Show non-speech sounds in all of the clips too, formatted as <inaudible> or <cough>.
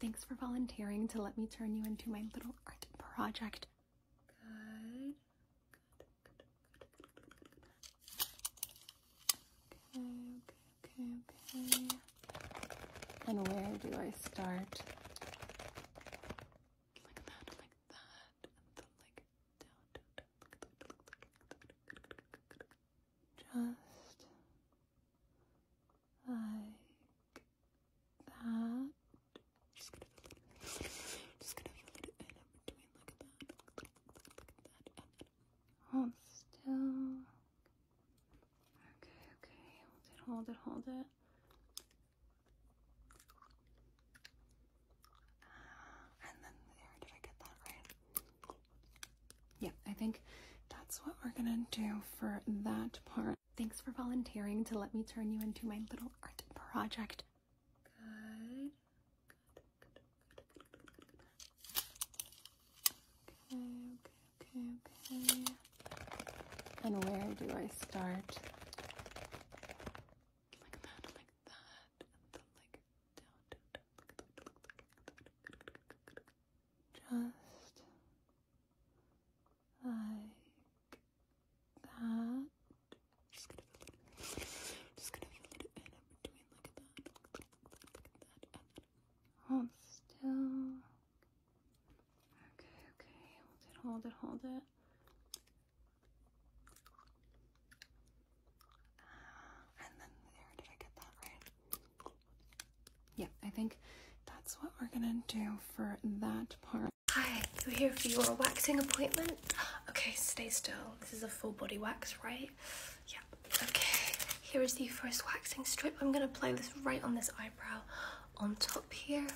Thanks for volunteering to let me turn you into my little art project. Good. And where do I start? Like that, like that, like down, down, down. Just like that. Just gonna feel it. Just gonna feel it in between. Look at that. Look, at that. hold still. Okay, okay. Hold it, hold it, hold it. And then there, did I get that right? Yeah, I think that's what we're gonna do for that part. Thanks for volunteering to let me turn you into my little art project. Okay, okay, okay, okay. And where do I start? Like that, like that, like Just like that. Just gonna be a just gonna be a little bit in between, like that, like that, and then hold still. Okay, okay, hold it, hold it, hold it. And then there, did I get that right? Yeah, I think that's what we're gonna do for that part. Hi, you're here for your waxing appointment? Okay, stay still. This is a full body wax, right? Yeah, okay. Here is the first waxing strip. I'm gonna apply this right on this eyebrow on top here.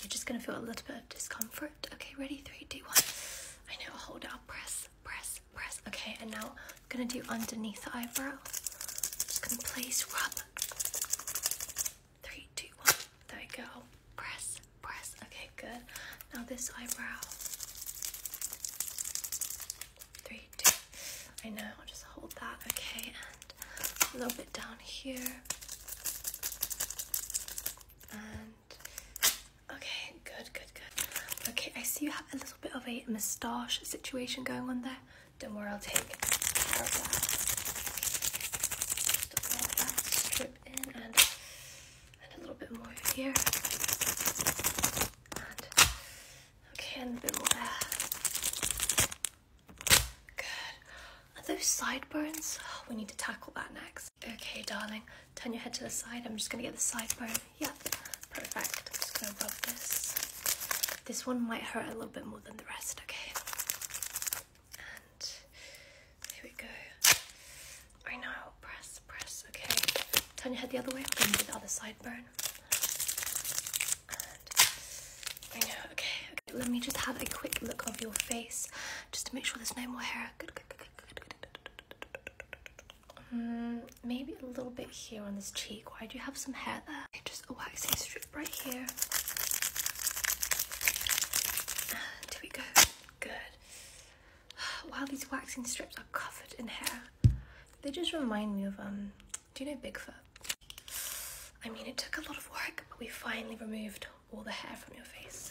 You're just gonna feel a little bit of discomfort. Okay, ready? Three, two, one. I know, hold out. press, press, press. Okay, and now I'm gonna do underneath eyebrow. just gonna place rub. Three, two, one. There we go. Press, press. Okay, good. Now this eyebrow. Three, two. I know. Just hold that. Okay, and a little bit down here. And okay, good, good, good. Okay, I see you have a little bit of a moustache situation going on there. Don't worry. I'll take care of that. in and, a little bit more here. okay, and a bit more there. Good. And those sideburns, oh, we need to tackle that next. Okay, darling, turn your head to the side. I'm just gonna get the sideburn yeah, perfect. Just gonna rub this. This one might hurt a little bit more than the rest, okay? And here we go. I right know, press, press, okay. Turn your head the other way, I'm gonna do the other sideburn. And I know, okay, Let me just have a quick look of your face just to make sure there's no more hair. Good, good, good, good, good, maybe a little bit here on this cheek. Why do you have some hair there? Okay, just a waxing strip right here. And we go. Good. <sighs> Wow, these waxing strips are covered in hair. They just remind me of, um, do you know Bigfoot? I mean, it took a lot of work, but we finally removed all the hair from your face.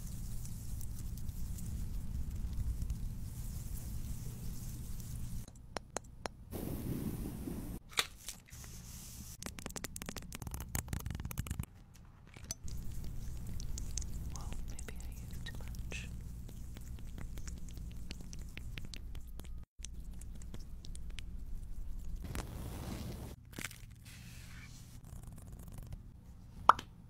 Well, maybe I used too much.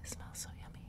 This smells so yummy.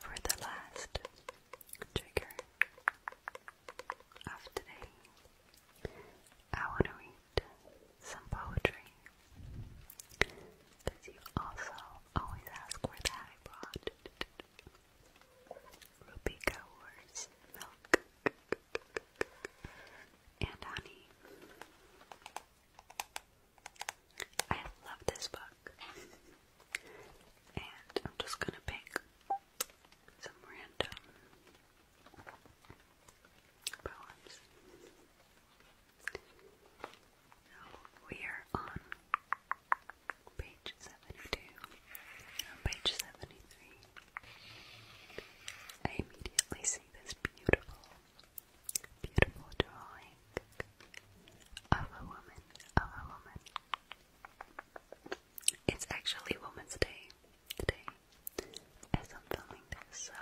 For the last trigger, of today, I want to read some poetry because you also always ask where that I brought Ruby Gower's milk and honey. I love this book, and I'm just gonna pick some random poems. we are on page 72, page 73. I immediately see this beautiful, beautiful drawing of a woman, of a woman. It's actually Women's Day today as I'm filming this, so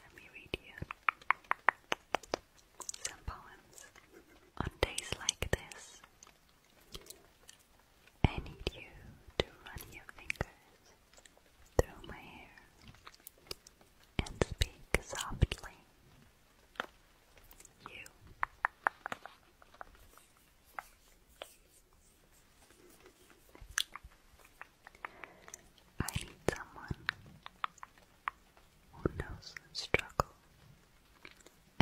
let me read you some poems. On days like this, I need you to run your fingers through my hair and speak softly. You I need someone who knows struggle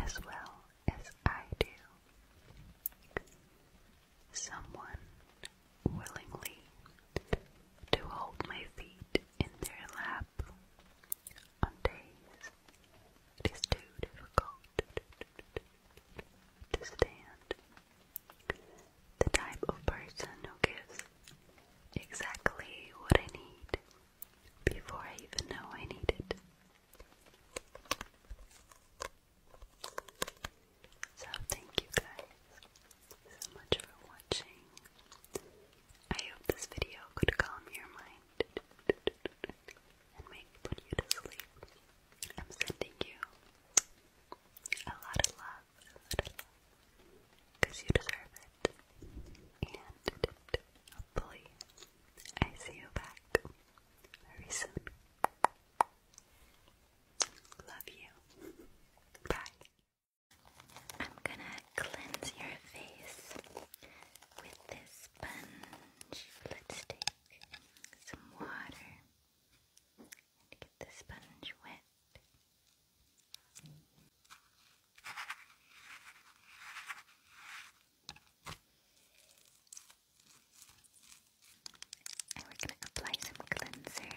as well as I do. Someone willingly to hold my feet in their lap on days it is too difficult to stand. The type of person who gives exactly what I need before I even know I need it. So, thank you guys so much for watching. I hope this video could calm your mind and make put you to sleep. I'm sending you a lot of love, a lot of love, you deserve it. And hopefully, I see you back very soon. Love you. Bye. I'm gonna cleanse your face with this sponge. Let's take some water and get the sponge wet. And we're going to apply some cleanser.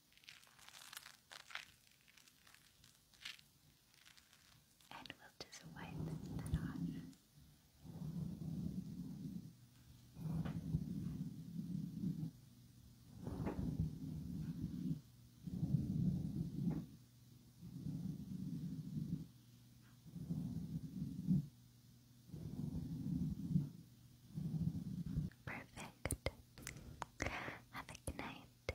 And we'll just wipe that off. Perfect. Have a good night.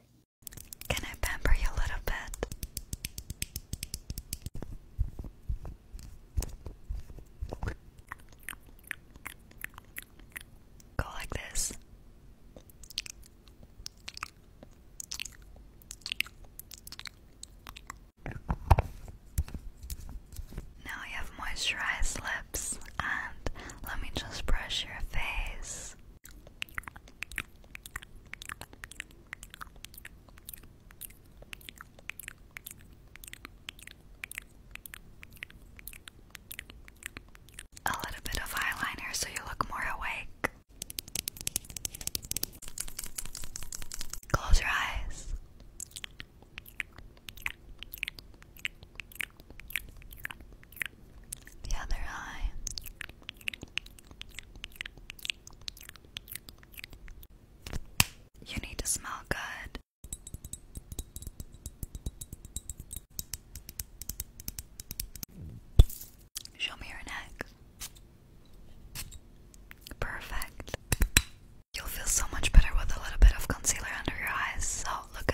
Can I pamper you a little bit? Go like this. Now you have moisturized lips, and let me just brush your face. A little bit of eyeliner so you look more awake. Close your eyes. The other eye. You need to smell good. Show me your neck. Perfect. You'll feel so much better with a little bit of concealer under your eyes, so look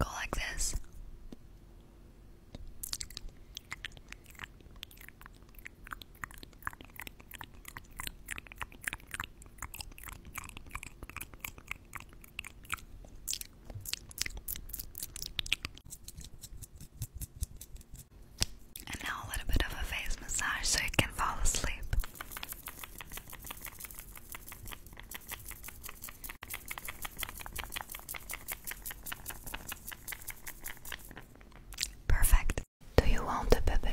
Go like this. And now a little bit of a face massage so you can fall asleep. Perfect. Do you want the pepper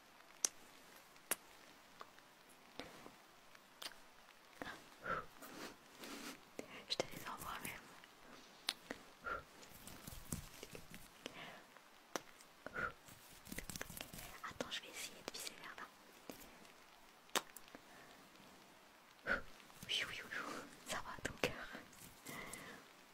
Je te les envoie même. Attends, je vais essayer de viser vers là. Oui, oui, oui, ça va, ton cœur.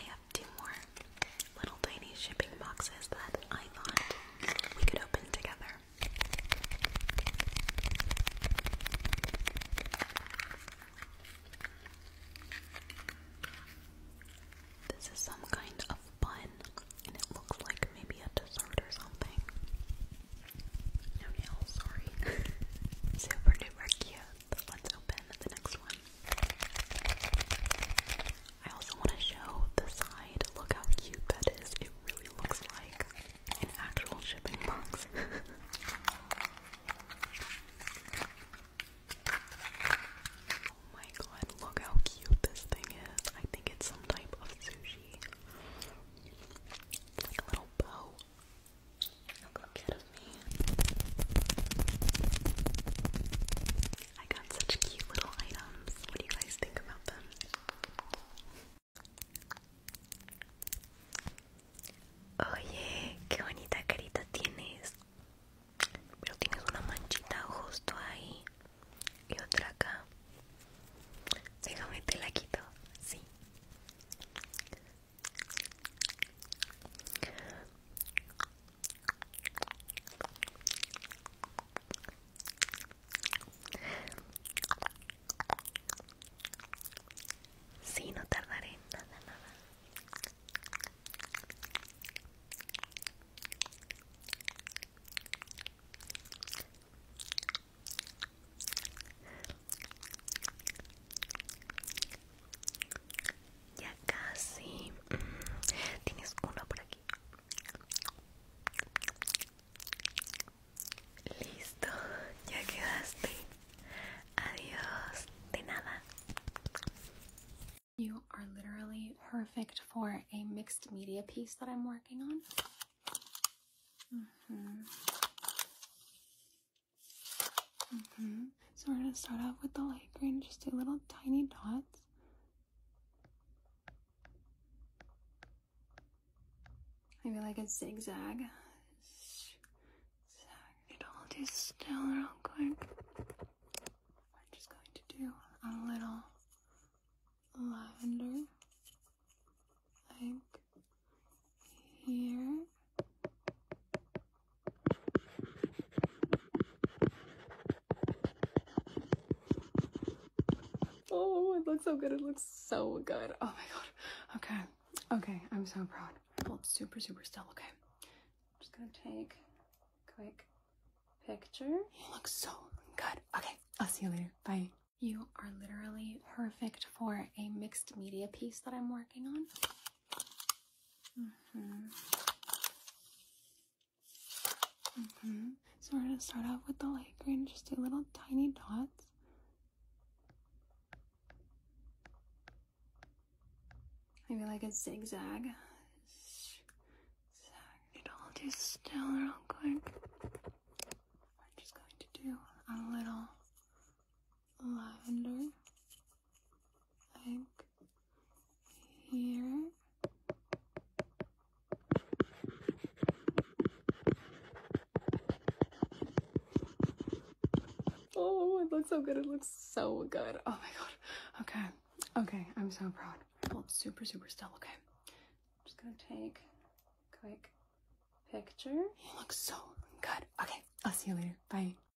I have two more little tiny shipping boxes that I thought we could open together. This is some kind of bun, and it looks like maybe a dessert or something. No nails, sorry. <laughs> Super duper cute let's open the next one. I also want to show the side. Look how cute that is. It really looks like an actual shipping box. <laughs> oh my god, look how cute this thing is. I think it's some type of sushi. like a little bow. Look, look at me. I got such cute little items. What do you guys think about them? Oye, qué bonita carita tienes. Pero tienes una manchita justo ahí y otra acá. Déjame te la quito, sí. Sí, no tardaré nada, nada. Ya casi. Mm. Tienes uno por aquí. Listo, ya quedaste. Adiós. De nada. You are literally perfect for a mixed media piece that I'm working on. Mm-hmm. Mm-hmm. So we're going to start off with the light green, just do little tiny dots. Maybe like a zigzag. Zag. i all do still real quick. I'm just going to do a little lavender, like here Oh, it looks so good. It looks so good. Oh my god. Okay. Okay. I'm so proud. Hold super, super still. Okay. I'm just gonna take a quick picture. You look so good. Okay. I'll see you later. Bye. You are literally perfect for a mixed media piece that I'm working on. Mm-hmm. Mm-hmm. So we're gonna start off with the light green, just do little tiny dots. Maybe like a zigzag. Zag it all just still real quick. I'm just going to do a little lavender like here. Oh, it looks so good. It looks so good. Oh my god. Okay. Okay. I'm so proud. Hold super, super still. Okay. just gonna take quick picture. It looks so good. Okay. I'll see you later. Bye.